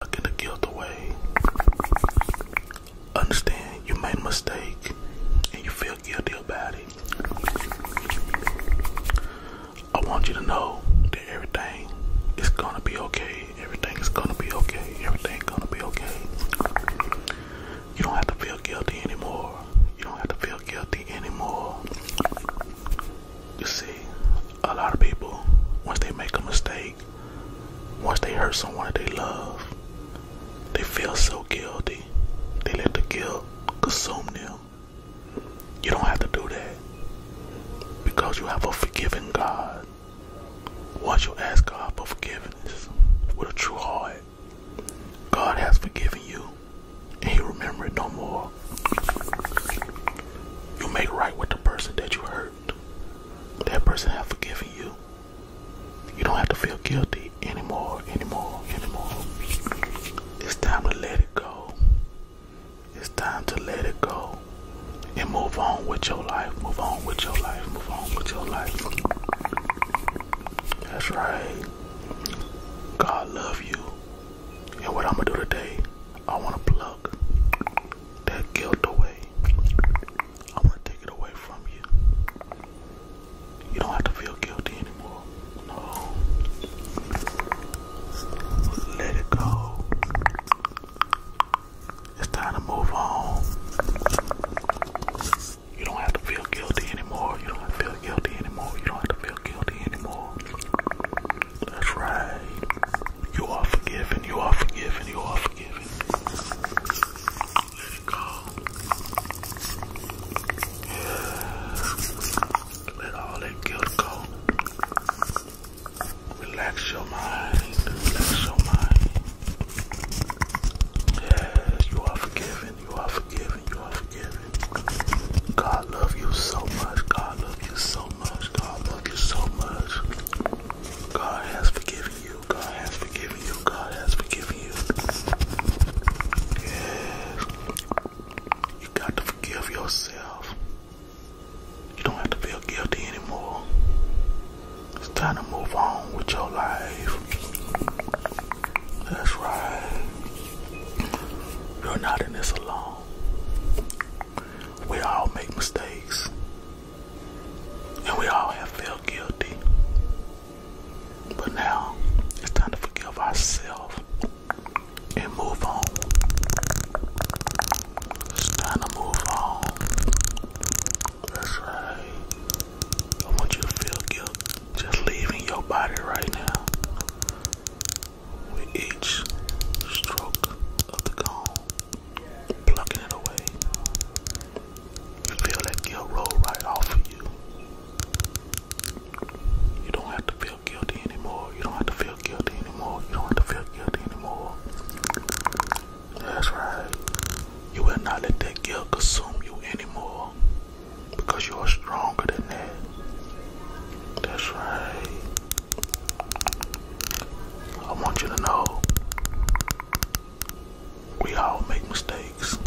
Looking the guilt away. Understand you made a mistake and you feel guilty about it. I want you to know that everything is gonna be okay. Everything is gonna be okay. Everything's gonna be okay. You don't have to feel guilty anymore. You don't have to feel guilty anymore. You see, a lot of people, once they make a mistake, once they hurt someone that they love, they feel so guilty. They let the guilt consume them. You don't have to do that because you have a forgiving God. Once you ask God for forgiveness with a true heart, God has forgiven you and He will remember it no more. You will make right with the person that you hurt that person have forgiven you. You don't have to feel guilty anymore, anymore, anymore. It's time to let it go. It's time to let it go and move on with your life. Move on with your life. Move on with your life. That's right. God love you. And what I'm gonna do today, I wanna plug that guilt away. I am going to take it away from you. You don't have to feel guilty anymore. No. Let it go. It's time to move on. You don't have to feel guilty anymore. You don't have to feel guilty anymore. You don't have to feel guilty anymore. That's right. You are forgiven. You are forgiven. You are forgiven. Let it go. Let all that guilt go. Relax your mind. Relax your mind. Yes, you are forgiven. You are forgiven. You are forgiven. God love you so much. God love you so God loves you so much. God has forgiven you. God has forgiven you. God has forgiven you. Yes. You got to forgive yourself. You don't have to feel guilty anymore. It's time to move on with your life. That's right. You're not in this alone. We all make mistakes. And we all have felt guilty. But now it's time to forgive ourselves and move on. It's time to move on. That's right. I want you to feel guilt just leaving your body right now. With each stroke of the comb, plucking it away. You feel that guilt roll right off of you. You don't have to feel guilty anymore. You don't have to feel guilty anymore. You don't have to feel guilty anymore. That's right. You will not let that guilt consume you anymore because you are stronger than that. That's right. I want you to know we all make mistakes.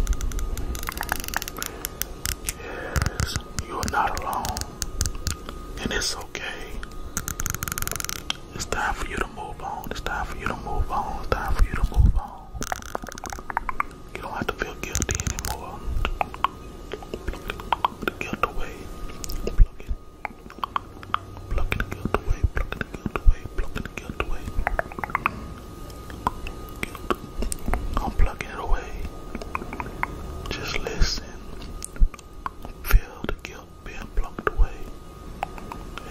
Yes, you are not alone, and it's okay. It's time for you to move on. It's time for you to move on. It's time for you to move on. You don't have to feel guilty anymore. Plug the guilt away. Plug Pluck it guilt away, pluck it guilt away, pluck it guilt away. Guilt. Unplug it away. Just listen. Feel the guilt being plucked away.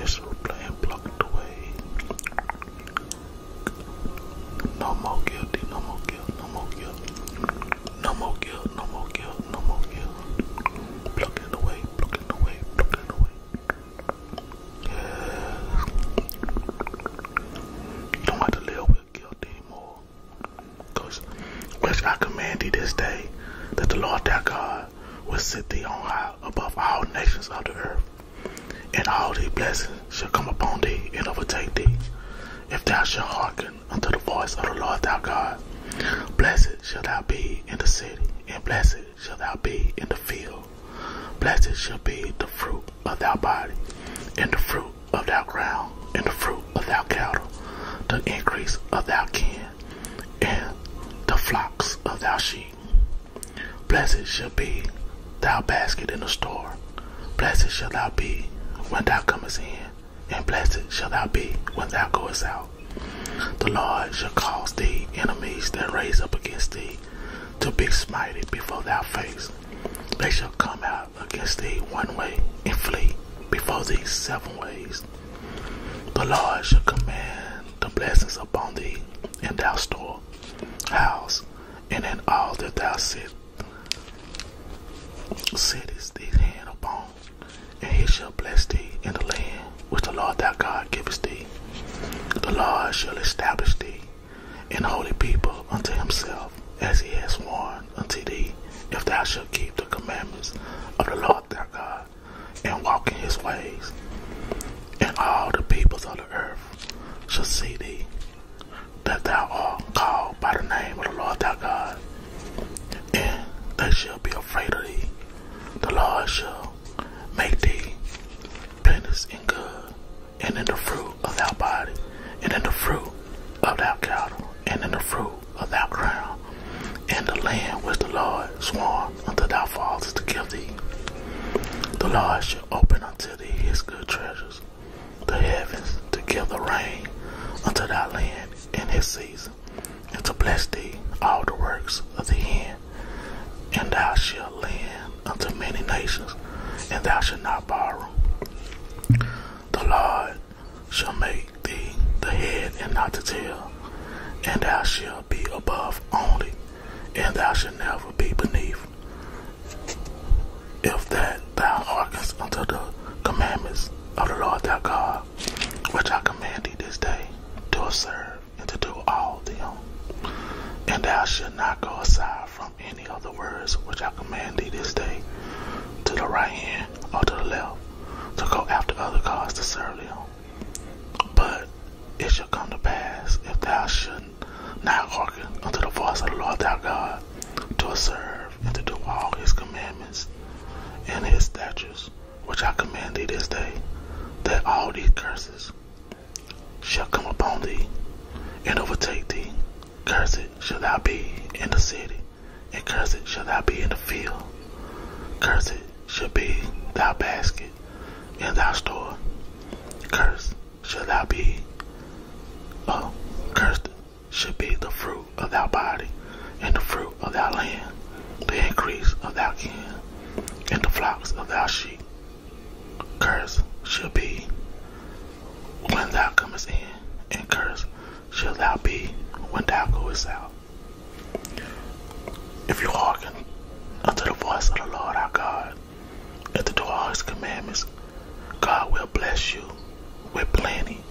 It's being plucked away. No more guilty, no more guilt, no more guilt. No more guilt, no more guilt, no more guilt plucking it away, plucking it away, plucking it away. Yes. You don't have to live with guilt anymore. Because which I command thee this day, that the Lord thy God will set thee on high above all nations of the earth, and all these blessings shall come upon thee and overtake thee, if thou shalt hearken unto the voice of the Lord thy God. Blessed shall thou be in the city, and blessed shall thou be in the field. Blessed shall be the fruit of thy body, and the fruit of thy ground, and the fruit of thy cattle, the increase of thy kin, and the flocks of thy sheep. Blessed shall be thy basket in the store. Blessed shall thou be when thou comest in, and blessed shall thou be when thou goest out. The Lord shall cause the enemies that raise up against thee to be smited before thy face. They shall come out against thee one way and flee before thee seven ways. The Lord shall command the blessings upon thee in thy store, house, and in all that thou sit. Sittest his hand upon and he shall bless thee in the land which the Lord thy God giveth thee. The Lord shall establish thee an holy people unto himself, as he has sworn unto thee, if thou shalt keep the commandments of the Lord thy God, and walk in his ways. And all the peoples of the earth shall see thee, that thou art called by the name of the Lord thy God, and they shall be afraid of thee. The Lord shall make thee plenteous in good, and in the fruit of thy body, and in the fruit of thy cattle, and in the fruit of thy ground, and the land which the Lord swore unto thy fathers to give thee. The Lord shall open unto thee his good treasures, the heavens to give the rain unto thy land in his season and to bless thee all the works of the hand. And thou shalt lend unto many nations, and thou shalt not borrow. The Lord shall make thee the head and not the tail, and thou shalt be above only, and thou shalt never be beneath. If that thou hearkenest unto the commandments of the Lord thy God, which I command thee this day to serve and to do all them. And thou shalt not go aside from any of the words which I command thee this day, to the right hand or to the left, to go after other gods to serve them. But it shall come to pass, if thou shalt not hearken unto the voice of the Lord thy God, to serve and to do all his commandments and his statutes which I command thee this day, that all these curses shall come upon thee and overtake thee. Cursed shall thou be in the city, and cursed shall thou be in the field. Cursed shall be thy basket and thy store. Cursed shall thou be, oh, cursed shall be the fruit of thy body, and the fruit of thy land, the increase of thy kin, and the flocks of thy sheep. Curse shall be when thou comest in, and curse shall thou be when thou goest out. If you hearken unto the voice of the Lord our God, and to do all his commandments, God will bless you with plenty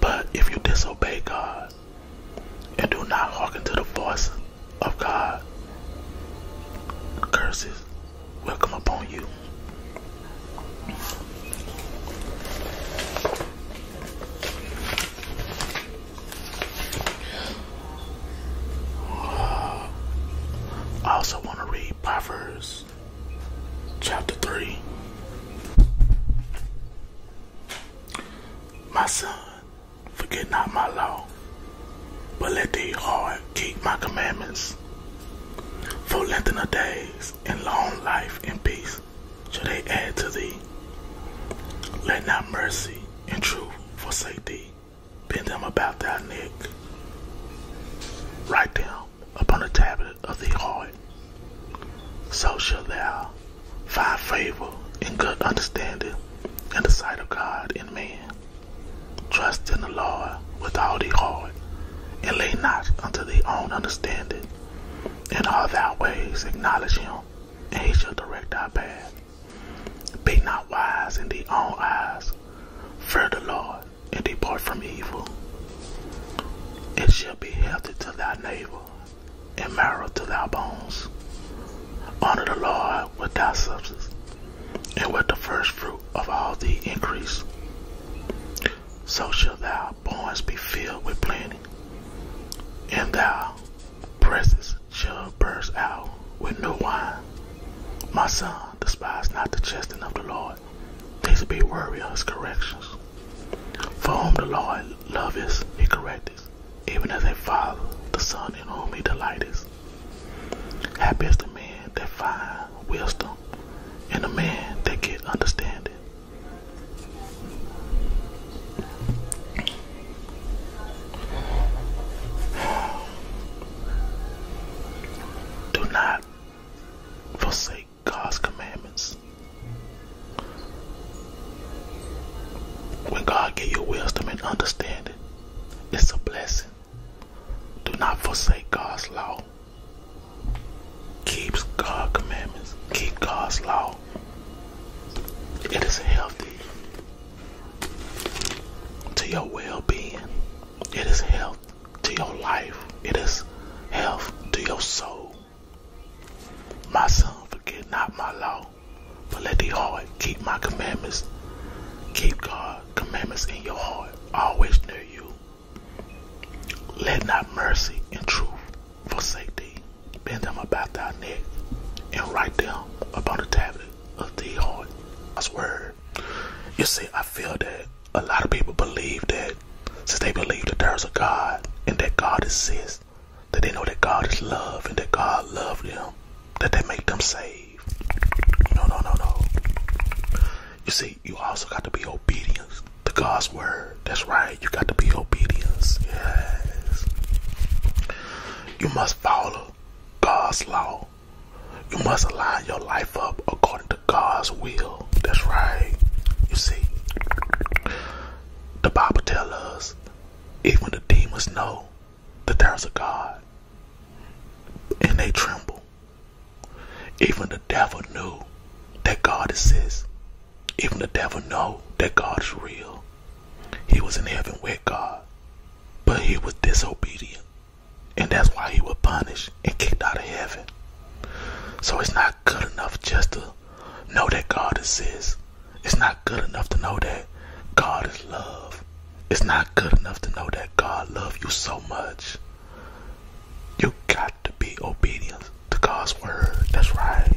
but if you disobey God and do not hearken to the voice of God, curses will come upon you. I also want to read Proverbs chapter 3. My son, forget not my law, but let the heart keep my commandments. For lengthen of days and long life and peace shall they add to thee. Let not mercy and truth forsake thee. Bind them about thy neck. Write down upon the tablet of the heart. So shall thou find favor and good understanding in the sight of God in man. Trust in the Lord with all thy heart, and lay not unto thy own understanding. In all thy ways acknowledge him, and he shall direct thy path. Be not wise in thy own eyes. Fear the Lord, and depart from evil. It shall be healthy to thy neighbor, and marrow to thy bones. Honor the Lord with thy substance, and with the first fruit of all the increase. So shall thy barns be filled with plenty, and thy presses shall burst out with new wine. My son, despise not the chastening of the Lord, neither be weary of his corrections for whom the Lord loveth, he correcteth, even as a father, the son in whom he delighteth. Happy is the man that find wisdom, and the man that get understanding. Do not forsake God's commandments. When God gave you wisdom and understanding, it's a blessing. Do not forsake God's law. Keep God's commandments. Keep God's law. It is healthy to your well-being. It is health to your life. It is health to your soul. My son, forget not my law, but let the heart keep my commandments. Keep God's commandments in your heart, always near you. Let not mercy and truth forsake thee. Bend them about thy neck, and write them upon the tablet of thy heart. I swear. You see, I feel that a lot of people believe that since they believe that there is a God and that God exists, that they know that God is love and that God loved them, that they make them saved. No, no, no, no. You see, you also got to be obedient to God's word. That's right. You got to be obedient. Yes. You must follow God's law. You must align your life up according to God's will. That's right. You see, the Bible tells us even the demons know that there's a God and they tremble. Even the devil knew that God exists. Even the devil know that God is real. He was in heaven with God, but he was disobedient. And that's why he was punished and kicked out of heaven. So it's not good enough just to know that God exists. It's not good enough to know that God is love. It's not good enough to know that God loves you so much. You got to be obedient to God's word. That's right.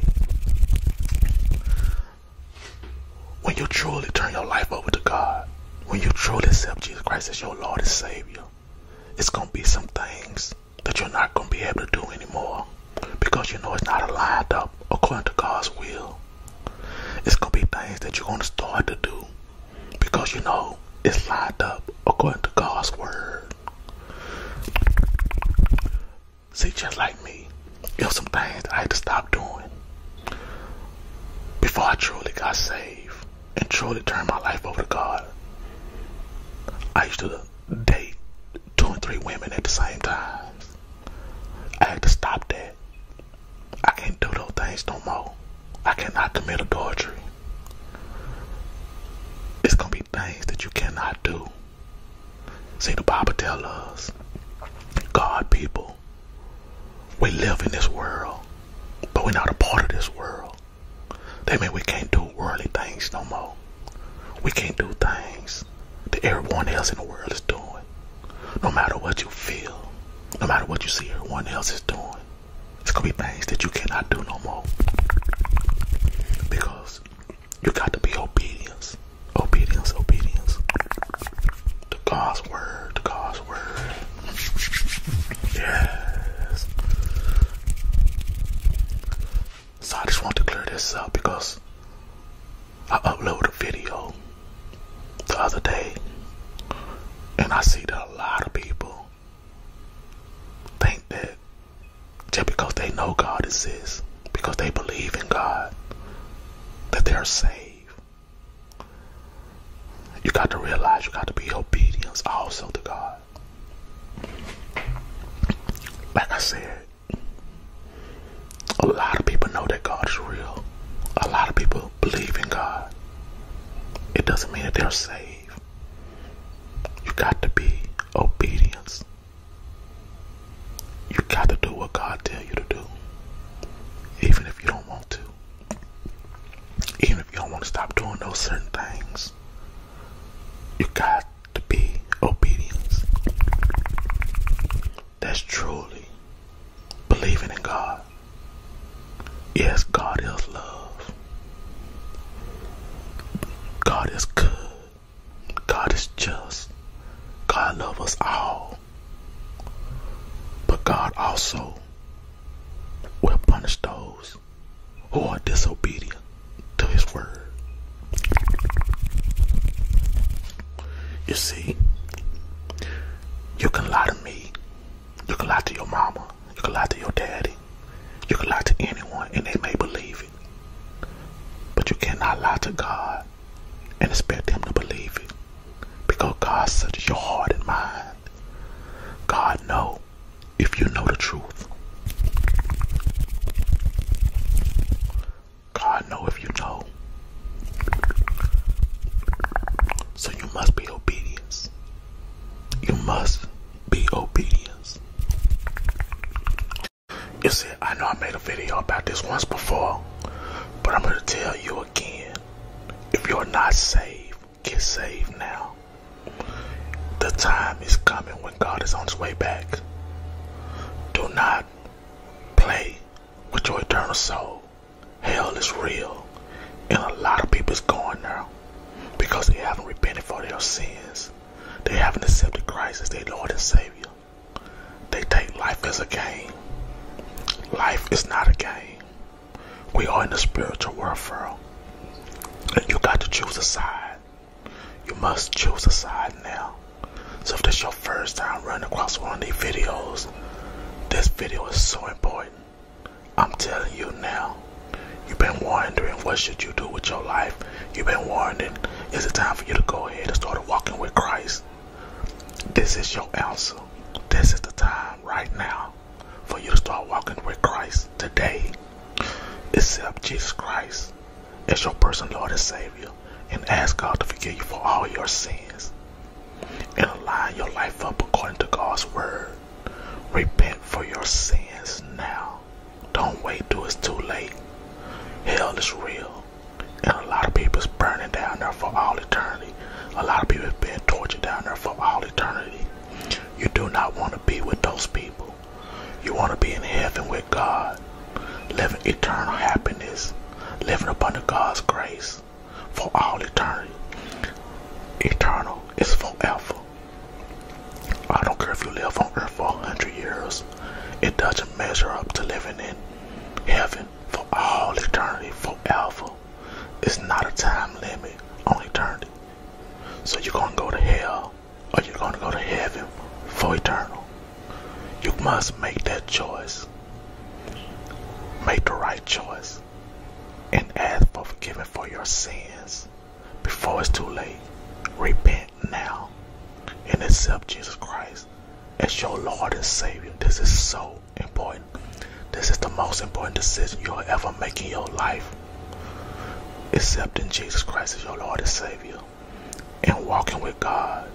When you truly turn your life over to God, when you truly accept Jesus Christ as your Lord and Savior, it's going to be some things that you're not going to be able to do anymore because you know it's not aligned up according to God's will. It's going to be things that you're going to start to do because you know it's lined up according to God's word. See, just like me, there's some things I had to stop doing before I truly got saved and truly turned my life over to God. I used to date two and three women at the same time. I had to stop that. I can't do those things no more. I cannot commit adultery. It's gonna be things that you cannot do. See, the Bible tells us, God people, we live in this world, but we're not a part of this world. That mean we can't do worldly things no more. We can't do things that everyone else in the world is doing. No matter what you feel, no matter what you see everyone else is doing, it's gonna be things that you cannot do no more. Because you got to be obedience. Obedience, obedience. To God's word, to God's word. Yes. So I just want to clear this up because I uploaded a video the other day and I see that a lot of people think that just because they know God exists, because they believe in God, that they're saved. You got to realize you got to be obedient also to God. Like I said, a lot of people know that God is real. A lot of people believe in God. It doesn't mean that they're saved. You got to be obedient. You got to do what God tell you to do. Even if you don't want to. Even if you don't want to stop doing those certain things. You got to be obedience. That's truly believing in God. Yes, God is love. God is good. God is just. God loves us all. But God also will punish those who are disobedient to his word. You see, you can lie to me, you can lie to your mama, you can lie to your daddy, you can lie to anyone and they may believe it. But you cannot lie to God and expect Him to believe it because God searches your heart and mind. God knows if you know the truth. God know if you know. So you must be obedience. You must be obedience. You see, I know I made a video about this once before, but I'm gonna tell you again. If you're not saved, get saved now. The time is coming when God is on his way back. Do not play with your eternal soul. Hell is real, and a lot of people is going there because they haven't repented for their sins. They haven't accepted Christ as their Lord and Savior. They take life as a game. Life is not a game. We are in the spiritual warfare, and you got to choose a side. You must choose a side now. So if this is your first time running across one of these videos, this video is so important. I'm telling you now. You've been wondering what should you do with your life. You've been wondering, is it time for you to go ahead and start walking with Christ? This is your answer. This is the time right now for you to start walking with Christ today. Accept Jesus Christ as your personal Lord and Savior and ask God to forgive you for all your sins and align your life up according to God's word. Repent for your sins now. Don't wait till it's too late. Hell is real. And a lot of people is burning down there for all eternity. A lot of people have been tortured down there for all eternity. You do not want to be with those people. You want to be in heaven with God, living eternal happiness, living upon God's grace for all eternity. Eternal is forever. I don't care if you live on earth for 100 years, it doesn't measure up to living in heaven for all eternity, forever. It's not a time limit on eternity. So you're going to go to hell hell or you're going to go to heaven for eternal. You must make that choice. Make the right choice and ask for forgiveness for your sins before it's too late. Repent now and accept Jesus Christ as your Lord and Savior. This is so important. This is the most important decision you'll ever make in your life accepting Jesus Christ as your Lord and Savior, and walking with God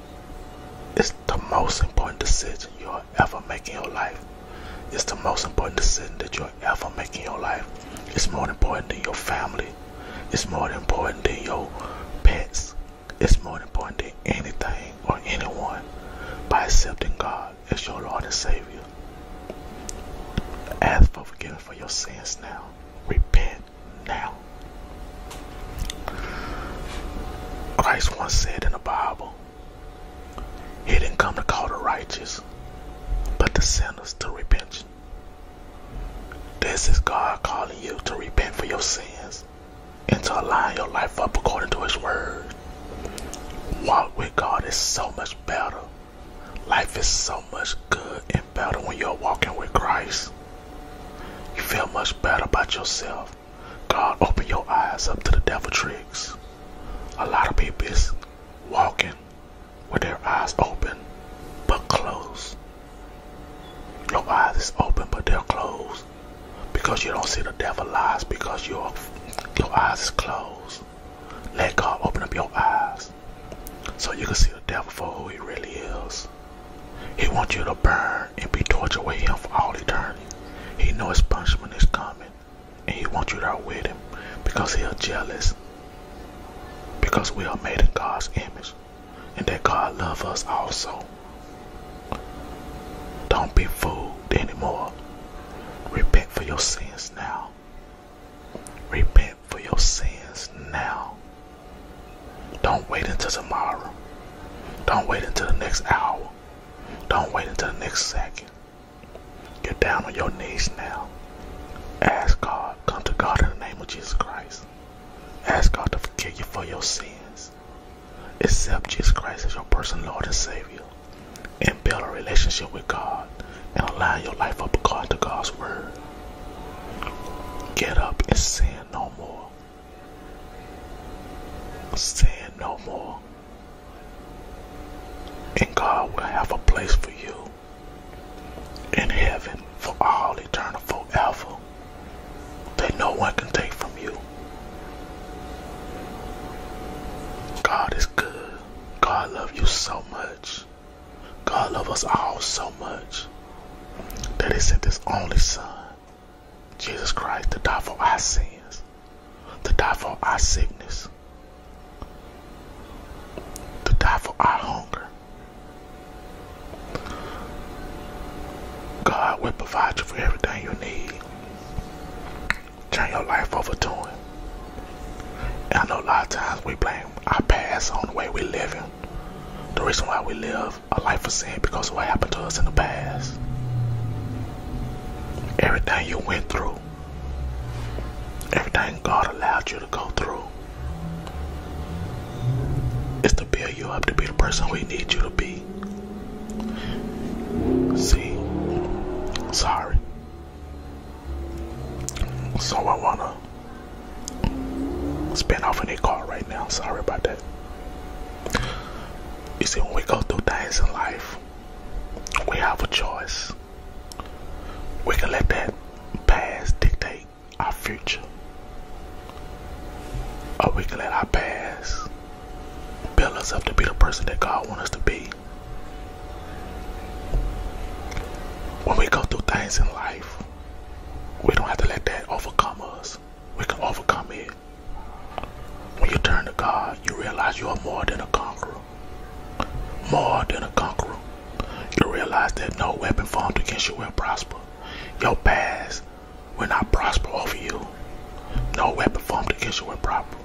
is the most important decision you'll ever make in your life. It's the most important decision that you'll ever make in your life. It's more important than your family. It's more important than your pets. It's more important than anything or anyone by accepting God as your Lord and Savior. Ask for forgiveness for your sins now. Repent now. Christ once said in the Bible, He didn't come to call the righteous, but the sinners to repentance. This is God calling you to repent for your sins and to align your life up according to His Word. Walk with God is so much better Life is so much good and better when you're walking with Christ. You feel much better about yourself. God open your eyes up to the devil tricks. A lot of people is walking with their eyes open but closed. Your eyes is open but they're closed because you don't see the devil lies because your your eyes is closed. Let God open up your eyes so you can see the devil for who he really is. He wants you to burn and be tortured with him for all eternity. He knows his punishment is coming and he wants you there with him because he is jealous. Because we are made in God's image and that God loves us also. Don't be fooled anymore. Repent for your sins now. Repent for your sins now. Don't wait until tomorrow. Don't wait until the next hour. Don't wait until the next second. Get down on your knees now. Ask God. Come to God in the name of Jesus Christ. Ask God to forgive you for your sins. Accept Jesus Christ as your personal Lord and Savior. And build a relationship with God and align your life up according to God's word. Get up and sin no more. Sin no more. And God will have a place for you in heaven for all eternal forever that no one can take from you. God is good. God loves you so much. God loved us all so much that He sent His only Son, Jesus Christ, to die for our sins, to die for our sickness, to die for our hunger. God will provide you for everything you need. Turn your life over to Him. And I know a lot of times we blame our past on the way we living. The reason why we live a life of sin because of what happened to us in the past. Everything you went through, everything God allowed you to go through, is to build you up to be the person we need you to be. See, sorry, so I wanna spin off in a car right now. Sorry about that. You see, when we go through things in life, we have a choice. We can let that past dictate our future, or we can let our past build us up to be the person that God wants us to be. When we go through things in life, we don't have to let that overcome us. We can overcome it. When you turn to God, you realize you are more than a conqueror. More than a conqueror. You realize that no weapon formed against you will prosper. Your past will not prosper over you. No weapon formed against you will prosper.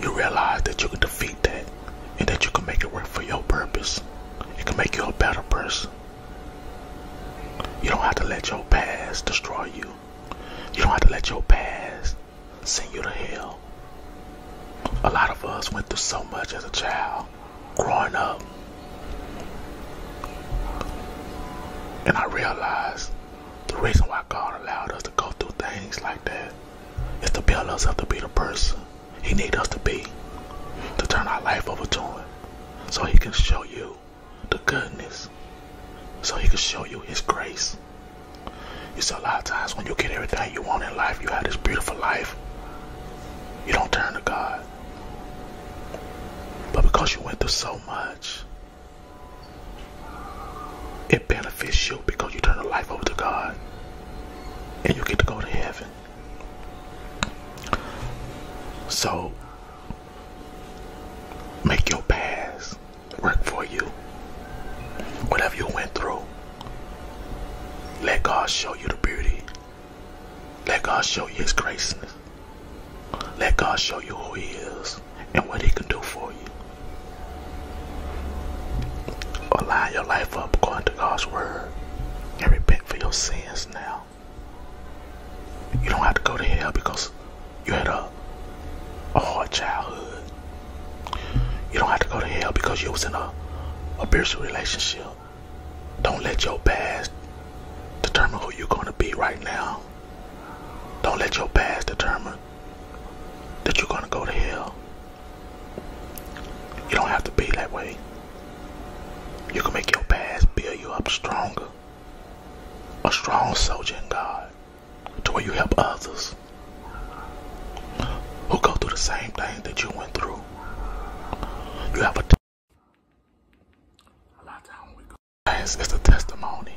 You realize that you can defeat that and that you can make it work for your purpose. It can make you a better person. You don't have to let your past destroy you. You don't have to let your past send you to hell. A lot of us went through so much as a child growing up. And I realized the reason why God allowed us to go through things like that is to build us up to be the person He needs us to be, to turn our life over to Him, so He can show you the goodness, so He can show you His grace. You see, a lot of times when you get everything you want in life, you have this beautiful life, you don't turn to God. But because you went through so much, it benefits you because you turn the life over to God and you get to go to heaven. So make your past work for you. Whatever you went through, let God show you the beauty. Let God show you his grace. Let God show you who he is and what he can do for you. Align your life up according to God's word and repent for your sins now. You don't have to go to hell because you had a, a hard childhood. You don't have to go to hell because you was in a abusive relationship. Don't let your past determine who you're going to be right now. Don't let your past determine that you're going to go to hell. You don't have to be that way. You can make your past build you up stronger. A strong soldier in God to where you help others who go through the same thing that you went through. You have a lot of time it's, it's a testimony.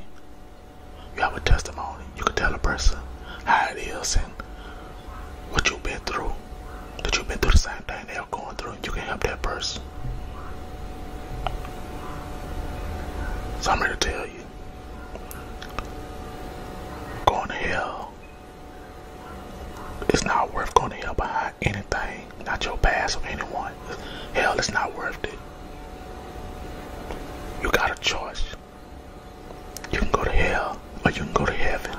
You have a testimony. You can tell a person how it is and what you been through, that you been through the same thing they're going through, you can help that person. So I'm here to tell you, going to hell it's not worth going to hell behind anything, not your past or anyone. Hell, it's not worth it. You got a choice. You can go to hell or you can go to heaven.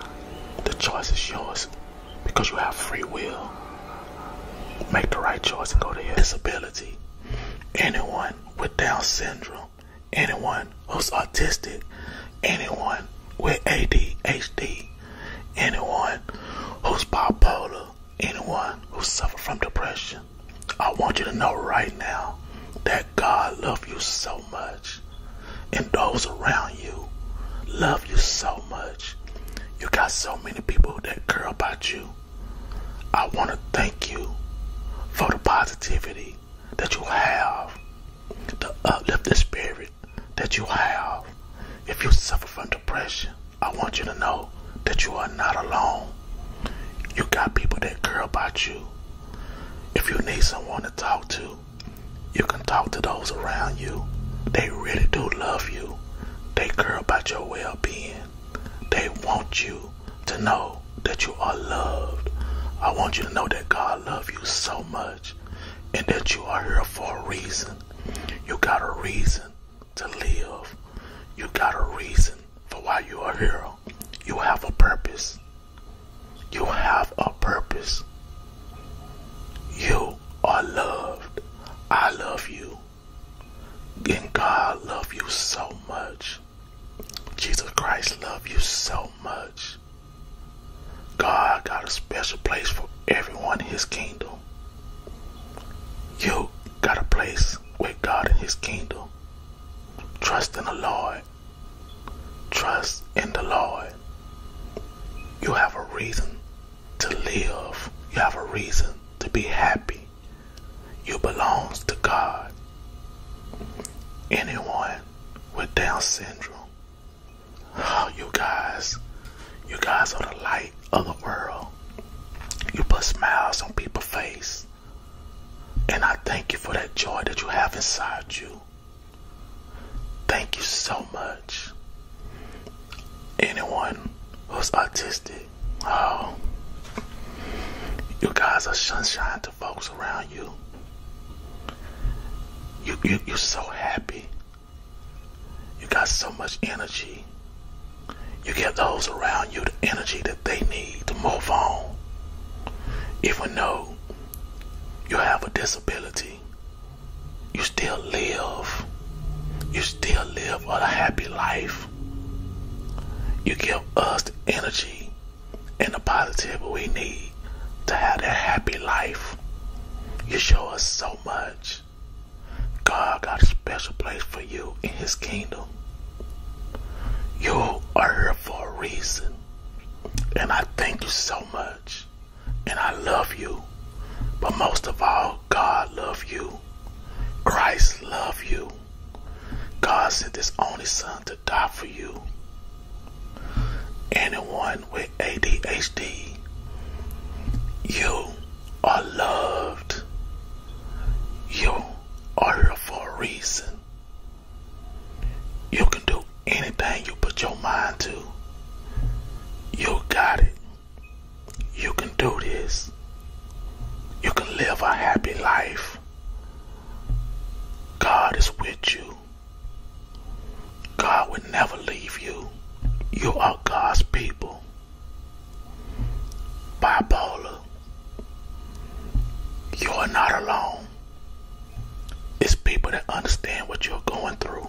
The choice is yours because you have free will. Make the right choice and go to heaven. Disability. Anyone with Down syndrome, anyone who's autistic, anyone with ADHD, anyone who's bipolar, anyone who suffers from depression. I want you to know right now that God loves you so much and those around you love you so much. You got so many people that care about you. I want to thank you for the positivity that you have, the uplifted spirit that you have. If you suffer from depression, I want you to know that you are not alone. You got people that care about you. If you need someone to talk to, you can talk to those around you. They really do love you. They care about your well being. They want you to know that you are loved. I want you to know that God loves you so much and that you are here for a reason. You got a reason to live. You got a reason for why you are here. You have a purpose. You have a purpose. You are loved. I love you. And God love you so much. Jesus Christ love you so much. God got a special place for everyone in his kingdom. You got a place with God in his kingdom. Trust in the Lord Trust in the Lord. You have a reason to live. You have a reason to be happy. You belong to God. Anyone with Down syndrome. Oh, you guys, you guys are the light of the world. You put smiles on people's face. And I thank you for that joy that you have inside you. Thank you so much. Anyone who's autistic, oh, you guys are sunshine to folks around you. You, you you're so happy. You got so much energy. You give those around you the energy that they need to move on. Even though you have a disability, you still live. You still live a happy life. You give us the energy and the positive we need to have that happy life. You show us so much. God got a special place for you in his kingdom. You are here for a reason. And I thank you so much and I love you. But most of all, God loves you. Christ loves you. God sent his only son to die for you. Anyone with ADHD, you are loved. You are here for a reason. You can do anything you put your mind to. You got it. You can do this. You can live a happy life. God is with you. God will never leave you. You are God's people. Bipolar. You are not alone. It's people that understand what you're going through.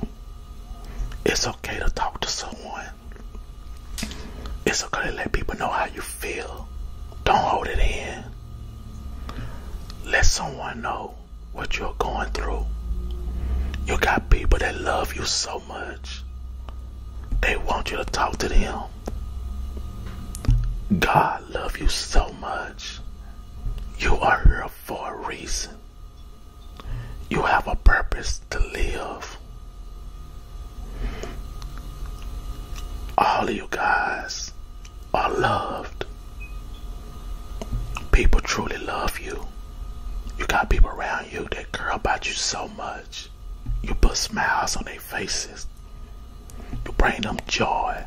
It's okay to talk to someone. It's okay to let people know how you feel. Don't hold it in. Let someone know what you're going through. You got people that love you so much. They want you to talk to them. God love you so much. You are here for a reason. You have a purpose to live. All of you guys are loved. People truly love you. You got people around you that care about you so much. You put smiles on their faces. You bring them joy.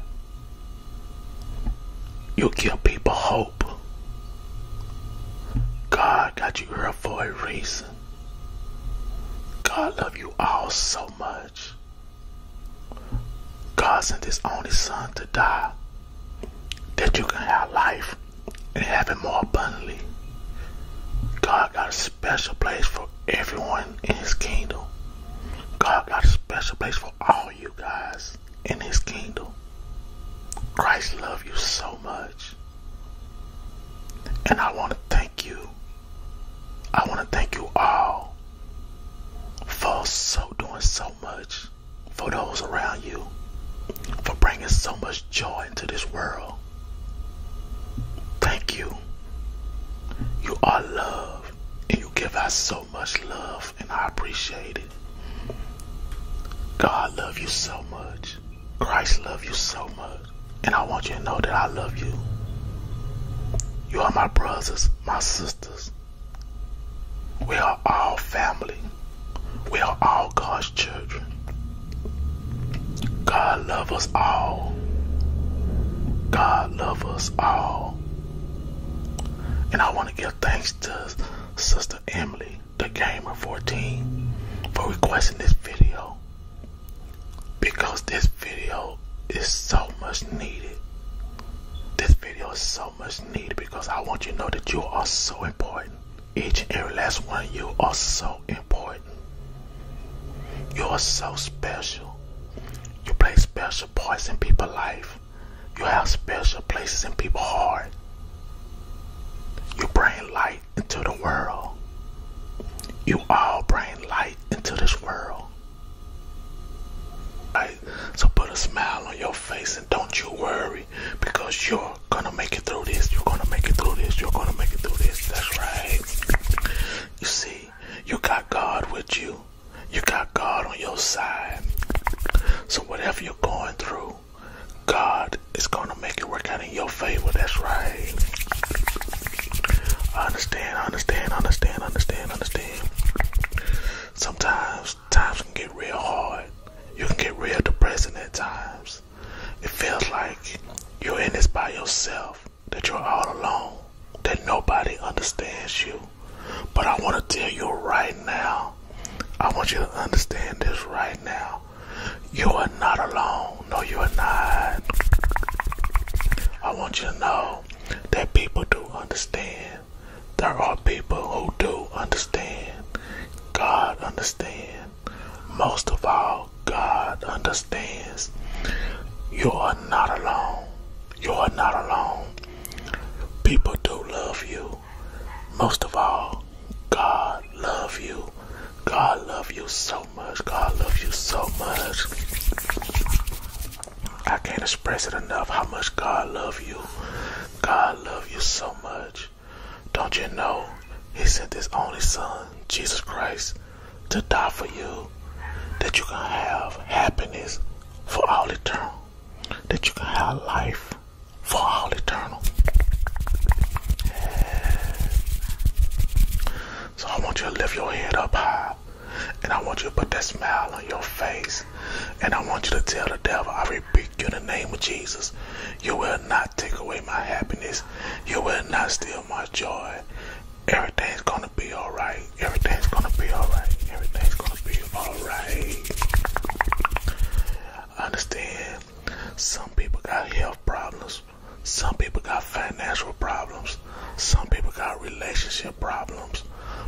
You give people hope. God got you here for a reason. God love you all so much. God sent his only son to die that you can have life and have it more abundantly. God got a special place for everyone in his kingdom. God got a special place for all you guys in his kingdom. Christ loves you so much. And I want to thank you. I want to thank you all for so doing so much for those around you, for bringing so much joy into this world. Thank you. You are love, and you give us so much love and I appreciate it. God love you so much. Christ love you so much. And I want you to know that I love you. You are my brothers, my sisters. We are all family. We are all God's children. God love us all. God love us all. And I want to give thanks to Sister Emily, the gamer 14, for requesting this video because this video is so much needed. This video is so much needed because I want you to know that you are so important. Each and every last one of you are so important. You are so special. You play special parts in people's life. You have special places in people's heart. You bring light into the world. You all bring light into this world. Right? So put a smile on your face and don't you worry because you're gonna make it through this. You're gonna make it through this. You're gonna make it through this. That's right. You see, you got God with you. You got God on your side. So whatever you're going through, God is going to make it work out in your favor. That's right. I understand, understand, understand, understand, understand. Sometimes times can get real hard. You can get real depressing at times. It feels like you're in this by yourself, that you're all alone, that nobody understands you. But I want to tell you right now, I want you to understand this right now. You are not alone. No, you are not. I want you to know that people do understand. There are people who do understand. God understands. Most of all, God understands. You are not alone. You are not alone. People do love you. Most of all, God love you. God love you so much. God love you so much. I can't express it enough how much God love you. God love you so much. Don't you know he sent his only son, Jesus Christ, to die for you that you can have happiness for all eternal that you can have life for all eternal. So I want you to lift your head up high and I want you to put that smile on your face. And I want you to tell the devil, I rebuke you in the name of Jesus. You will not take away my happiness. You will not steal my joy. Everything's gonna be alright. Everything's gonna be alright. Everything's gonna be alright. I understand some people got health problems, some people got financial problems, some people got relationship problems.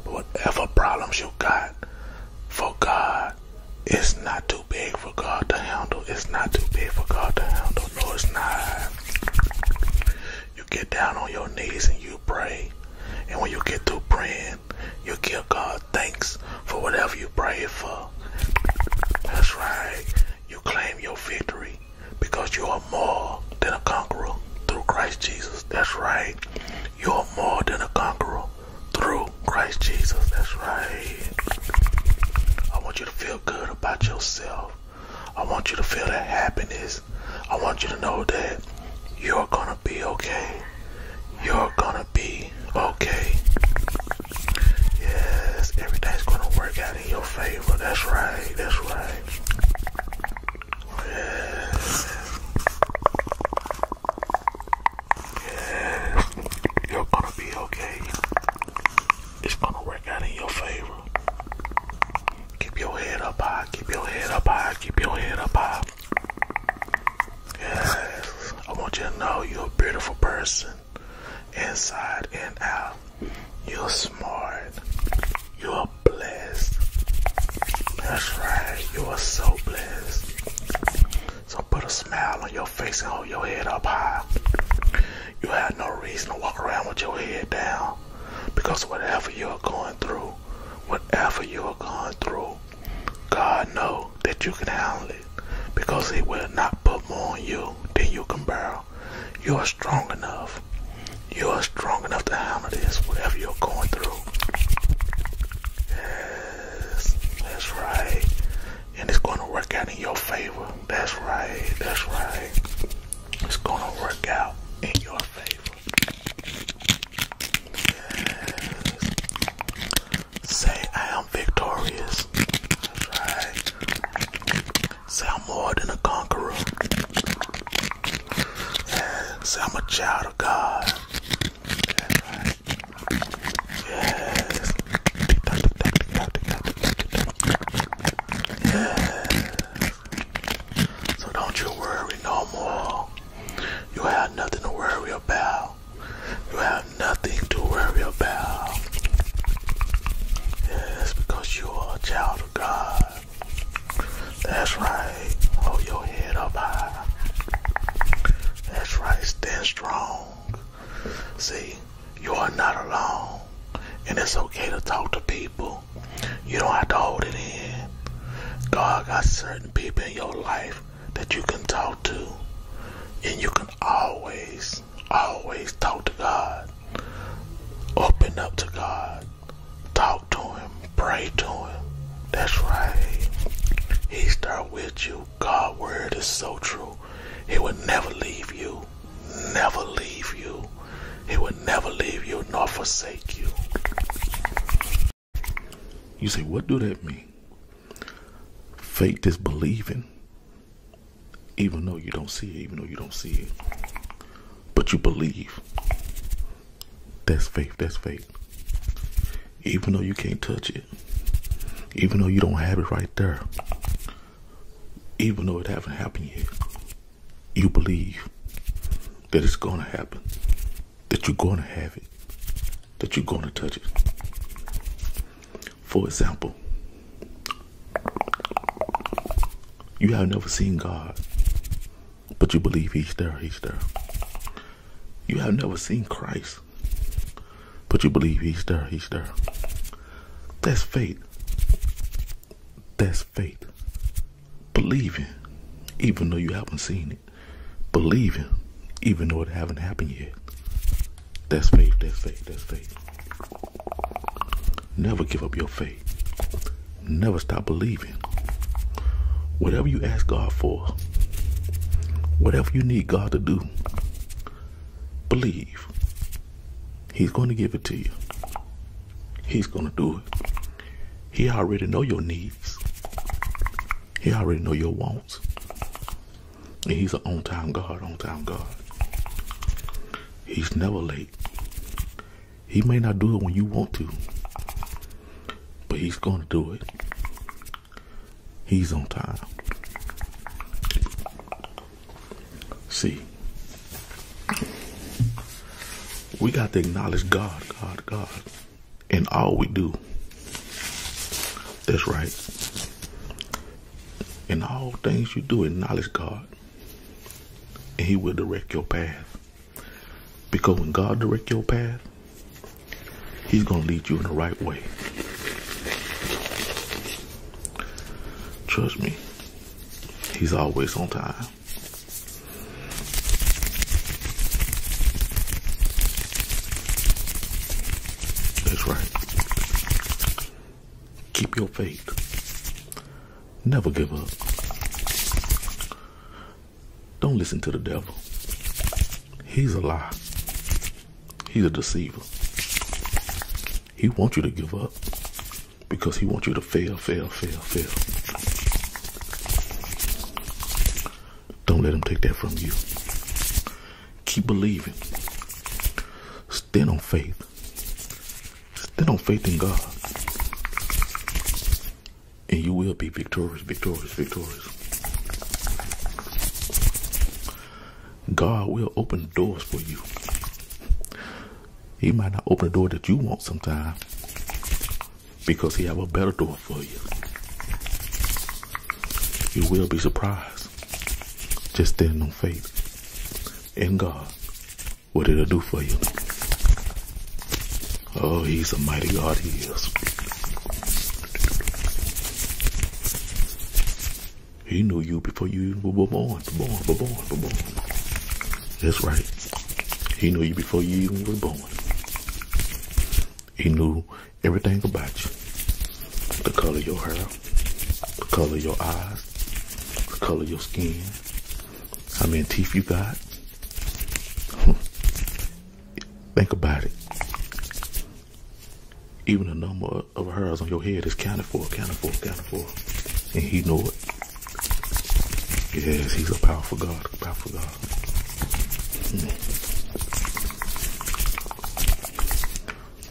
But whatever problems you got, for God, it's not too big for God to handle. It's not too big for God to handle. No, it's not. You get down on your knees and you pray. And when you get through praying, you give God thanks for whatever you pray for. That's right. You claim your victory because you are more than a conqueror through Christ Jesus. That's right. You are more than a conqueror through Christ Jesus. That's right. I want you to feel good about yourself. I want you to feel that happiness I want you to know that you're gonna be okay. You're gonna be okay. Yes, everything's gonna work out in your favor. That's right, that's right. Yes. Yes. You're gonna be okay. It's gonna work out in your favor. Keep your head up high, keep your head up high, keep your head up high. Yes. I want you to know you're a beautiful person inside and out. You're smart. You're blessed. That's right. You are so blessed. So put a smile on your face and hold your head up high. You have no reason to walk around with your head down because whatever you're going through, whatever you're going through, God knows that you can handle it because he will not put more on you than you can bear. You are strong enough. You are strong enough to handle this, whatever you're going through. Yes, that's right. And it's going to work out in your favor. That's right, that's right. It's going to work out in your favor. Say I am victorious. Say I'm more than a conqueror. Say I'm a child of God. Yes. Yes. So don't you worry no more. You have nothing to worry about. You have nothing to worry about. Yes, because you are a child of God. That's right. Hold your head up high. That's right. Stand strong. See, you are not alone. And it's okay to talk to people. You don't have to hold it in. God got certain people in your life that you can talk to. And you can always, always talk to God. Open up to God. Talk to Him. Pray to Him. That's right. He's there with you. God's word is so true. He will never leave you. Never leave you. He will never leave you nor forsake you. You say, what do that mean? Faith is believing, even though you don't see it, even though you don't see it. But you believe. That's faith, that's faith. Even though you can't touch it, even though you don't have it right there, even though it haven't happened yet, you believe that it's gonna happen that you're going to have it, that you're going to touch it. For example, you have never seen God, but you believe He's there, He's there. You have never seen Christ, but you believe He's there, He's there. That's faith. That's faith. Believing, even though you haven't seen it. Believe him, even though it haven't happened yet. That's faith, that's faith, that's faith. Never give up your faith. Never stop believing. Whatever you ask God for, whatever you need God to do, believe. He's going to give it to you. He's going to do it. He already know your needs. He already know your wants. And he's an on-time God, on-time God. He's never late. He may not do it when you want to, but he's going to do it. He's on time. See, we got to acknowledge God, God, God in all we do. That's right. In all things you do, acknowledge God. And He will direct your path. Because when God direct your path, He's going to lead you in the right way. Trust me, He's always on time. That's right. Keep your faith. Never give up. Don't listen to the devil. He's a lie. He's a deceiver. He wants you to give up because he wants you to fail, fail, fail, fail. Don't let them take that from you. Keep believing. Stand on faith. Stand on faith in God. And you will be victorious, victorious, victorious. God will open doors for you. He might not open the door that you want sometimes, because he have a better door for you. You will be surprised. Just stand on faith in God. What it'll do for you. Oh, he's a mighty God he is. He knew you before you were born, born, born, born. That's right. He knew you before you even were born knowing. He knew everything about you. The color of your hair, the color of your eyes, the color of your skin, how many teeth you got. Think about it. Even the number of hairs on your head is counted for, counted for, counted for. And he know it. Yes, he's a powerful God, a powerful God. Hmm.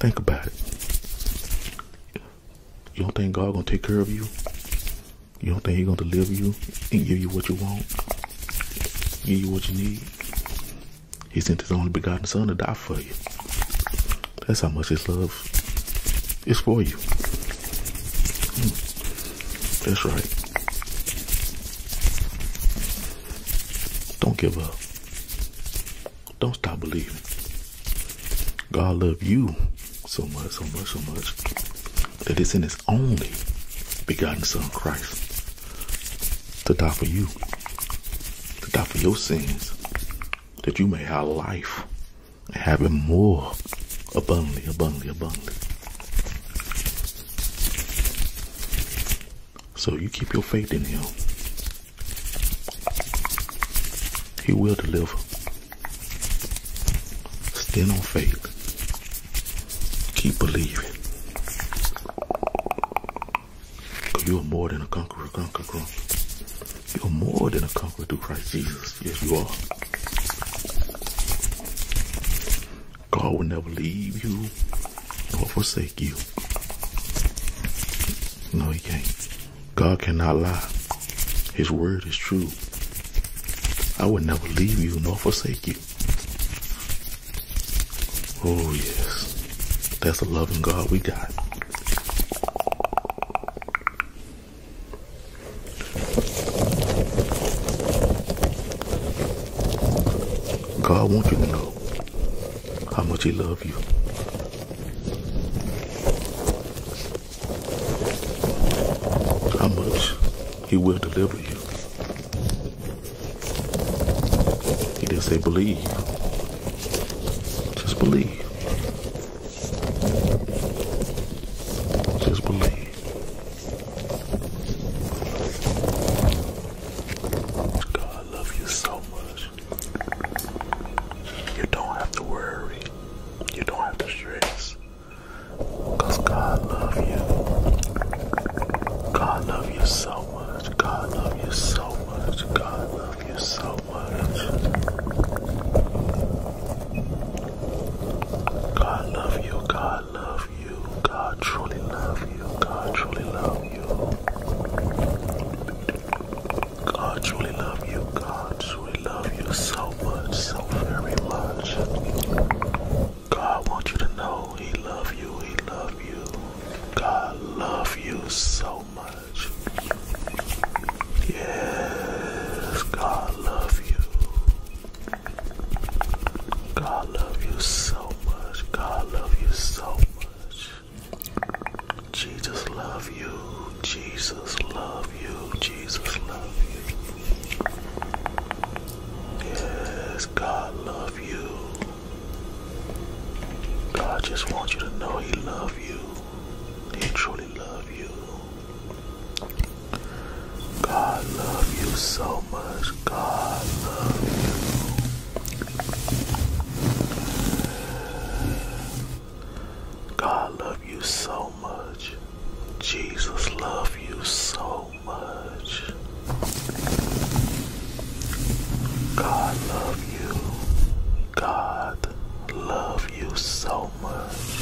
Think about it. You don't think God gonna take care of you? You don't think He gonna deliver you and give you what you want? Give you what you need? He sent His only begotten Son to die for you. That's how much His love is for you. Hmm. That's right. Don't give up. Don't stop believing. God love you so much, so much, so much that it's in his only begotten son Christ to die for you, to die for your sins, that you may have life and have it more abundantly, abundantly, abundantly. So you keep your faith in him. He will deliver. Stand on faith. Keep believing. you are more than a conqueror, conqueror. You're more than a conqueror through Christ Jesus. Yes, you are. God will never leave you nor forsake you. No, He can't. God cannot lie. His word is true. I will never leave you nor forsake you. Oh, yes. That's the loving God we got. God wants you to know how much He loves you. How much He will deliver you. He didn't say believe. Just believe. Just believe. God love you so much. You don't have to worry. You don't have to stress. God love you. God love you so much. God love you so much. God love you so much. God love you. God love love you. God truly love you. God truly love you. God truly love you. God truly love you so much, so very much. God wants you to know He love you. He love you. God love you so much. Yes, God love you. God love you so much. God love you so much. Jesus love you. Jesus love you. Jesus love you. Yes, God love you. God just wants you to know he love you. He truly love you. God love you so much. God love you. God love you so much. Jesus love you so much. God love you. God love you so much.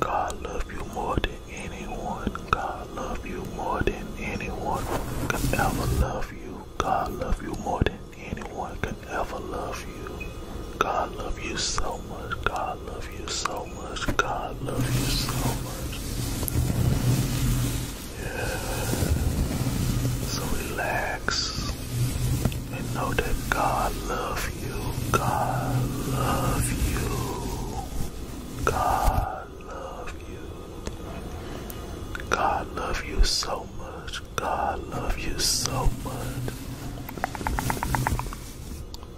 God love you more than anyone. God love you more than anyone can ever love you. God love you more than anyone can ever love you. God love you so much. God love you so much. God love you so much. Yeah. So relax and know that God love God love you. God love you. God love you so much. God love you so much.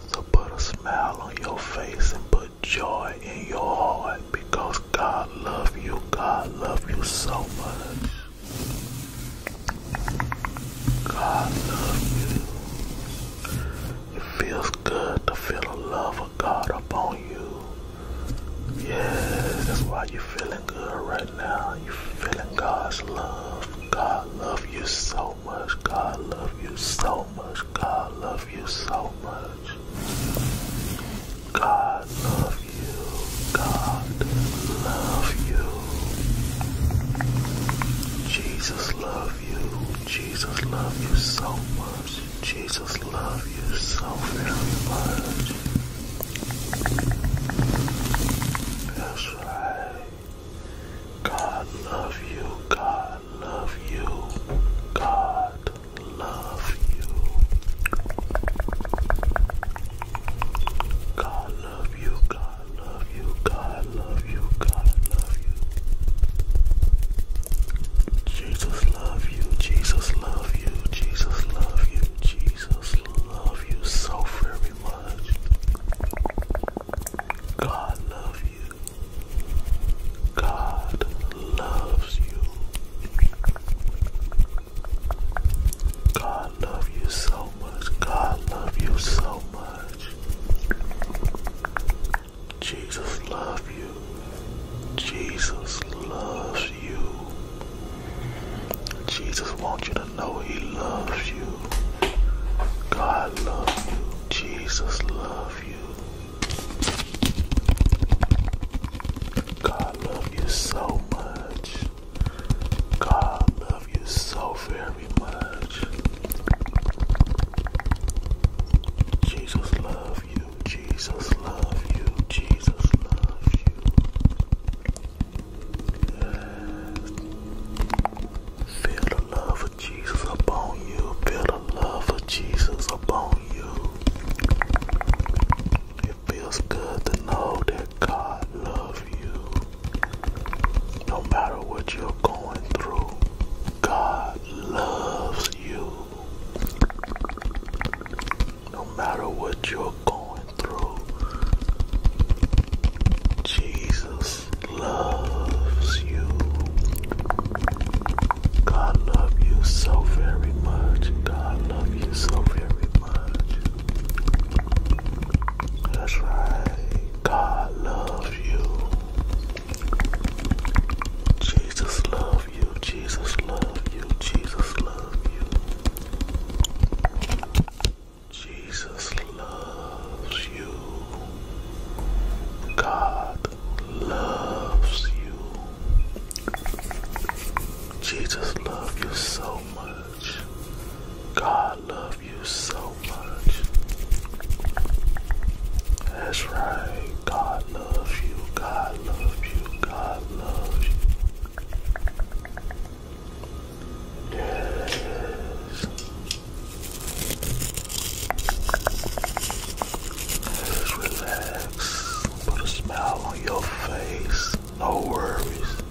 So put a smile on your face and put joy in your heart because God love you. God love you so much. God love you. It feels good to feel the love of God upon you. Yes, that's why you're feeling good right now. You're feeling God's love. God love you so much. God love you so much. God love you so much. God love you. God love you. Jesus love you. Jesus love you so much. Jesus love you so very much. That's right. God love you. God love you. God love you. God love you, God, love you, God, love you, God, love you. Jesus love you, Jesus love you, Jesus love you, Jesus love you so very much. God love you. God loves you. God love you so much. God love you so much. Jesus loves you. Jesus loves you. Jesus wants you to know he loves you. God loves you. Jesus loves you. God loves you so much. God loves you so very much. Jesus love you. Jesus love you. Jesus love you. Feel the love of Jesus upon you. Feel the love of Jesus upon you. It feels good to know that God loves you. No matter what you're going through, God loves you. No matter what you're going through, Jesus loves you. God loves you so very much. God loves you so very much. That's right. God loves you. Jesus love you. Jesus love you. Jesus love you. Jesus loves you. God loves you. Jesus loves you so much. God loves you so much. That's right. God loves you. God loves you. God loves you. Yes. Just relax. Put a smile on your face. No worries.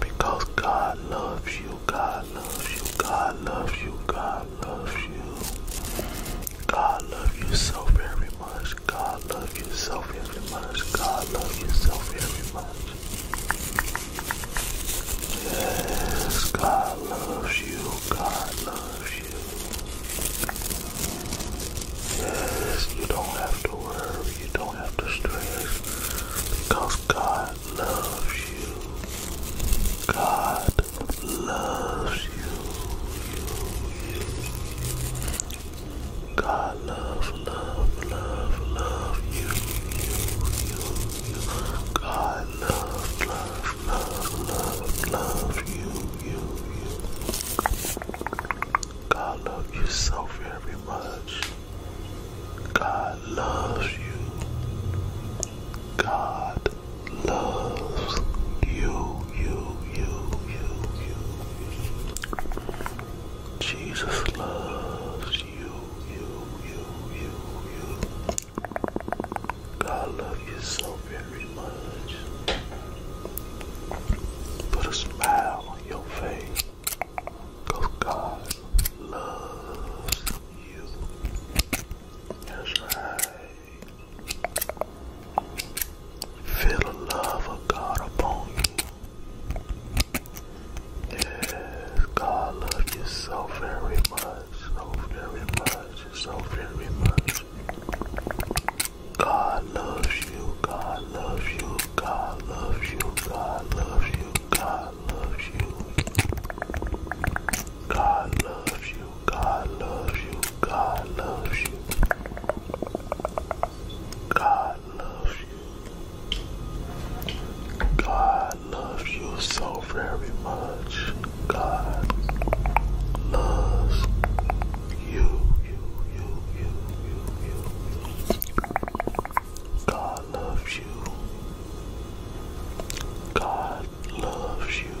Because God loves you. God loves you. God loves you. God loves you. God loves you so very much. God loves you so very much. God loves you so very much. Yes, God loves you. God loves you. Yes, you don't have to worry. You don't have to stress because God God loves you. God loves you. you, you. God loves, love, love, love you. you, you, you. God loves, love, love, love, love you, you, you. God loves you so very much. God loves you. God loves you, you, you, you, you. Jesus loves you, you, you, you, you. God loves you so very much. Put a smile on your face. God loves you. That's right. Feel the love of God upon you. Yes, God loves you so very much, so very much, so very much. God loves you, God loves you, God loves you, God loves you, God God loves you. God loves you. God loves you. God loves you. God loves you. God loves you so very much. God loves you. You, you, you, you, you. God loves you. God loves you.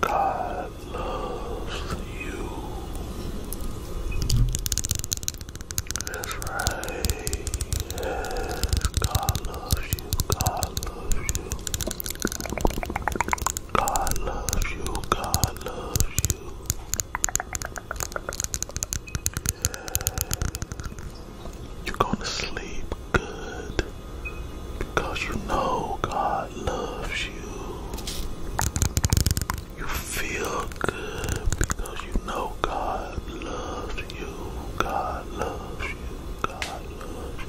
God loves you. That's right. God loves you. God loves you. God loves you. God loves you. You're going to sleep good because you know God loves you. You feel good because you know God loves you. God loves you. God loves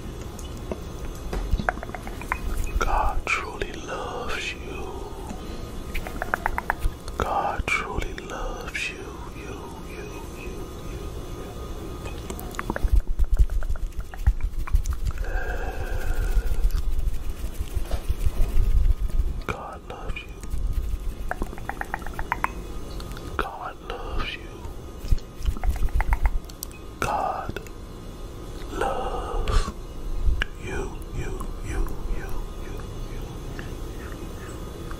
you. God truly loves you. God truly loves you, you, you, you, you. God loves you. God loves you. God loves you, you, you, you, you, you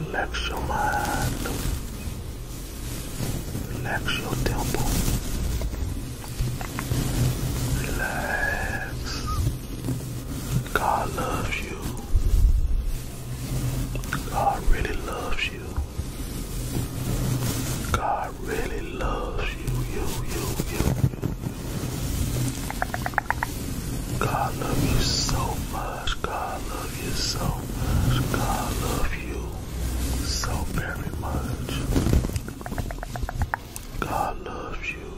Relax your mind. Relax your temple. Relax. God loves you. God really loves you. God really loves you, you, you, you. God love you so much. God love you so much. God love you so very much. God loves you,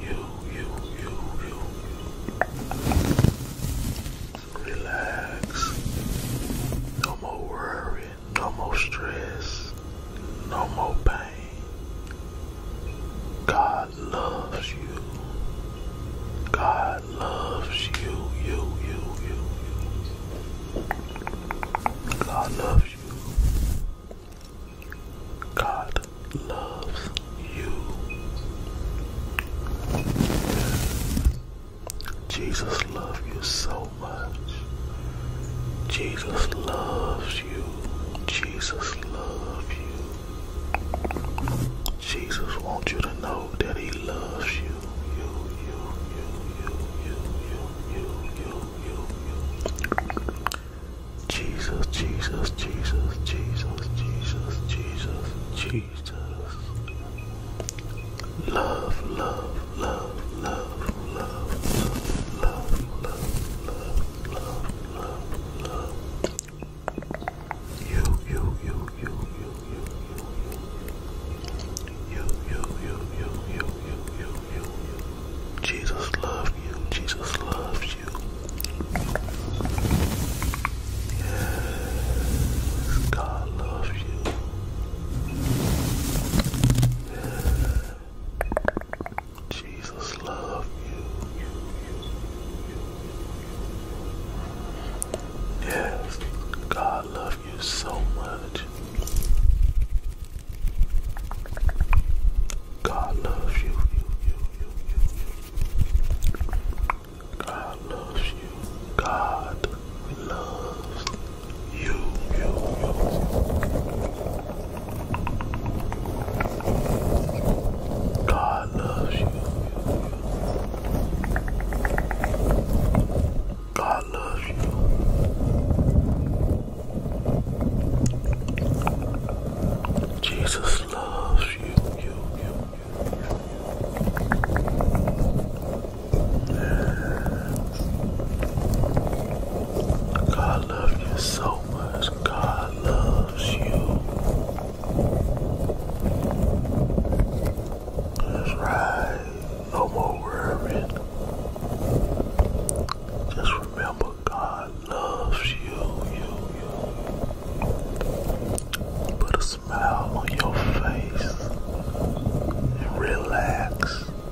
you, you, you, you. relax. No more worry. No more stress, no more pain. God loves you. God loves you, you, you, you, you. God loves you. God loves you. Jesus loves you so Jesus loves you. Jesus loves you. Jesus wants you to know that he loves you. You, you, you, you, you, you, you, you, you, you. Jesus, Jesus, Jesus, Jesus, Jesus, Jesus, Jesus. Love, love love, love, love, love, love, love, love, love, love. You, you, you, you, you, you, you, you, you, you, you, you, you, you, you, you. Jesus loves you. Jesus loves you. Yes, God loves you. Yes. Jesus love you. Yes, God love you so much. God loves you. God loves you. God loves you, you, God loves you. God loves you. Jesus loves you. God loves you so much. God loves you. That's right. No more worrying. Just remember, God loves you, you, you. Put a smile on your face and relax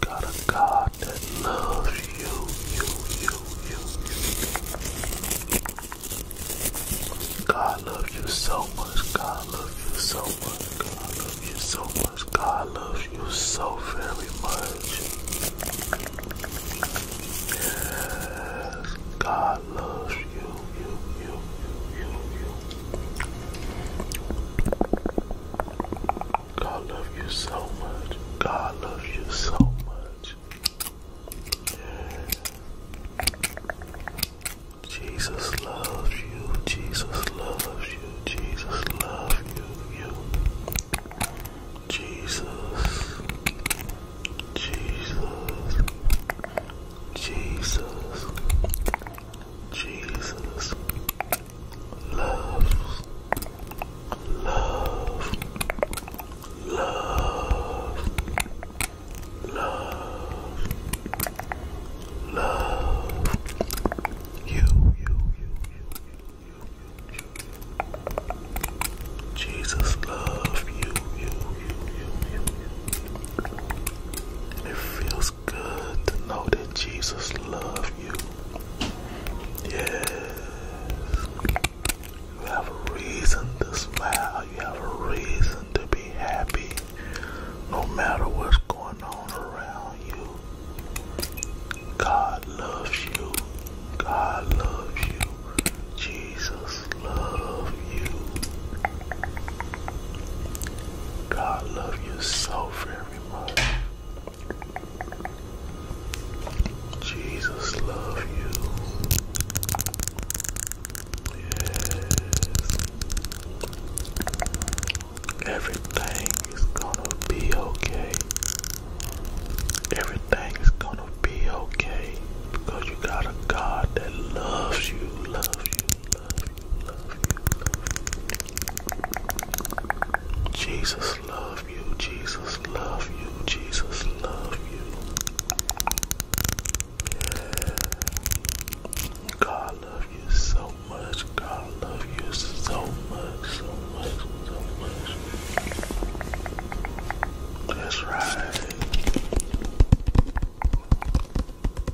got God that loves you, you, you, you. God loves you so much. God loves you so much. God loves you so much. God loves you so very much. Yes, God loves you, you, you, you, you. God loves you so much. God loves you so much. Jesus loves you. Jesus loves you. Jesus loves you. You. Jesus. Jesus. Jesus. Jesus love, love, love, love, love, you, you, you, you, you, you, you. Jesus, love you, you, you, you, you, you. And it feels good to know that Jesus loves you. Yes. You have a reason to smile. You have a reason to be happy no matter what's going on around you. God loves you. God loves you. Jesus loves you. God loves you so very much. Jesus love you. Yes. Everything is gonna be okay. Everything is gonna be okay you got a God that loves you, loves you love love you. Jesus love you, Jesus love you, Jesus love you. God love you so much, God love you so much, so much, so much. That's right.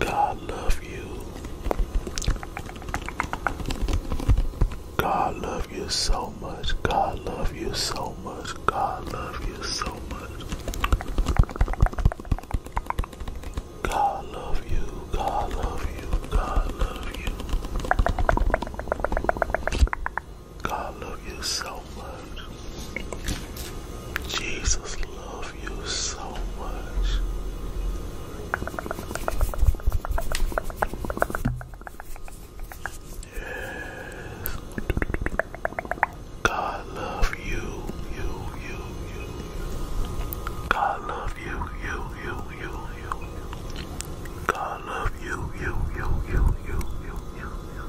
God love you. God love you so much. God love you so much. God love you so much. God love you. God love you. God love you. God love you so much. Jesus love you so much. Yes. God love you, you, you, you, God love you, you, you, you, you. God love you, you, you, you, you, you, you.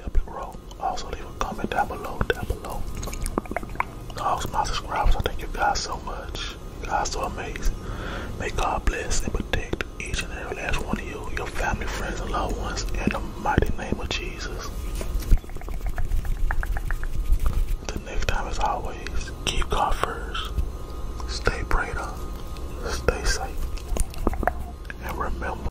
help it grow. Also leave a comment down below, down below. All my subscribers, I thank you guys so much. You guys so amazing. May God bless and protect each and every last one of you, your family, friends, and loved ones, in the mighty name of Jesus. The next time, as always, keep God first, stay prayed up, stay safe, and remember.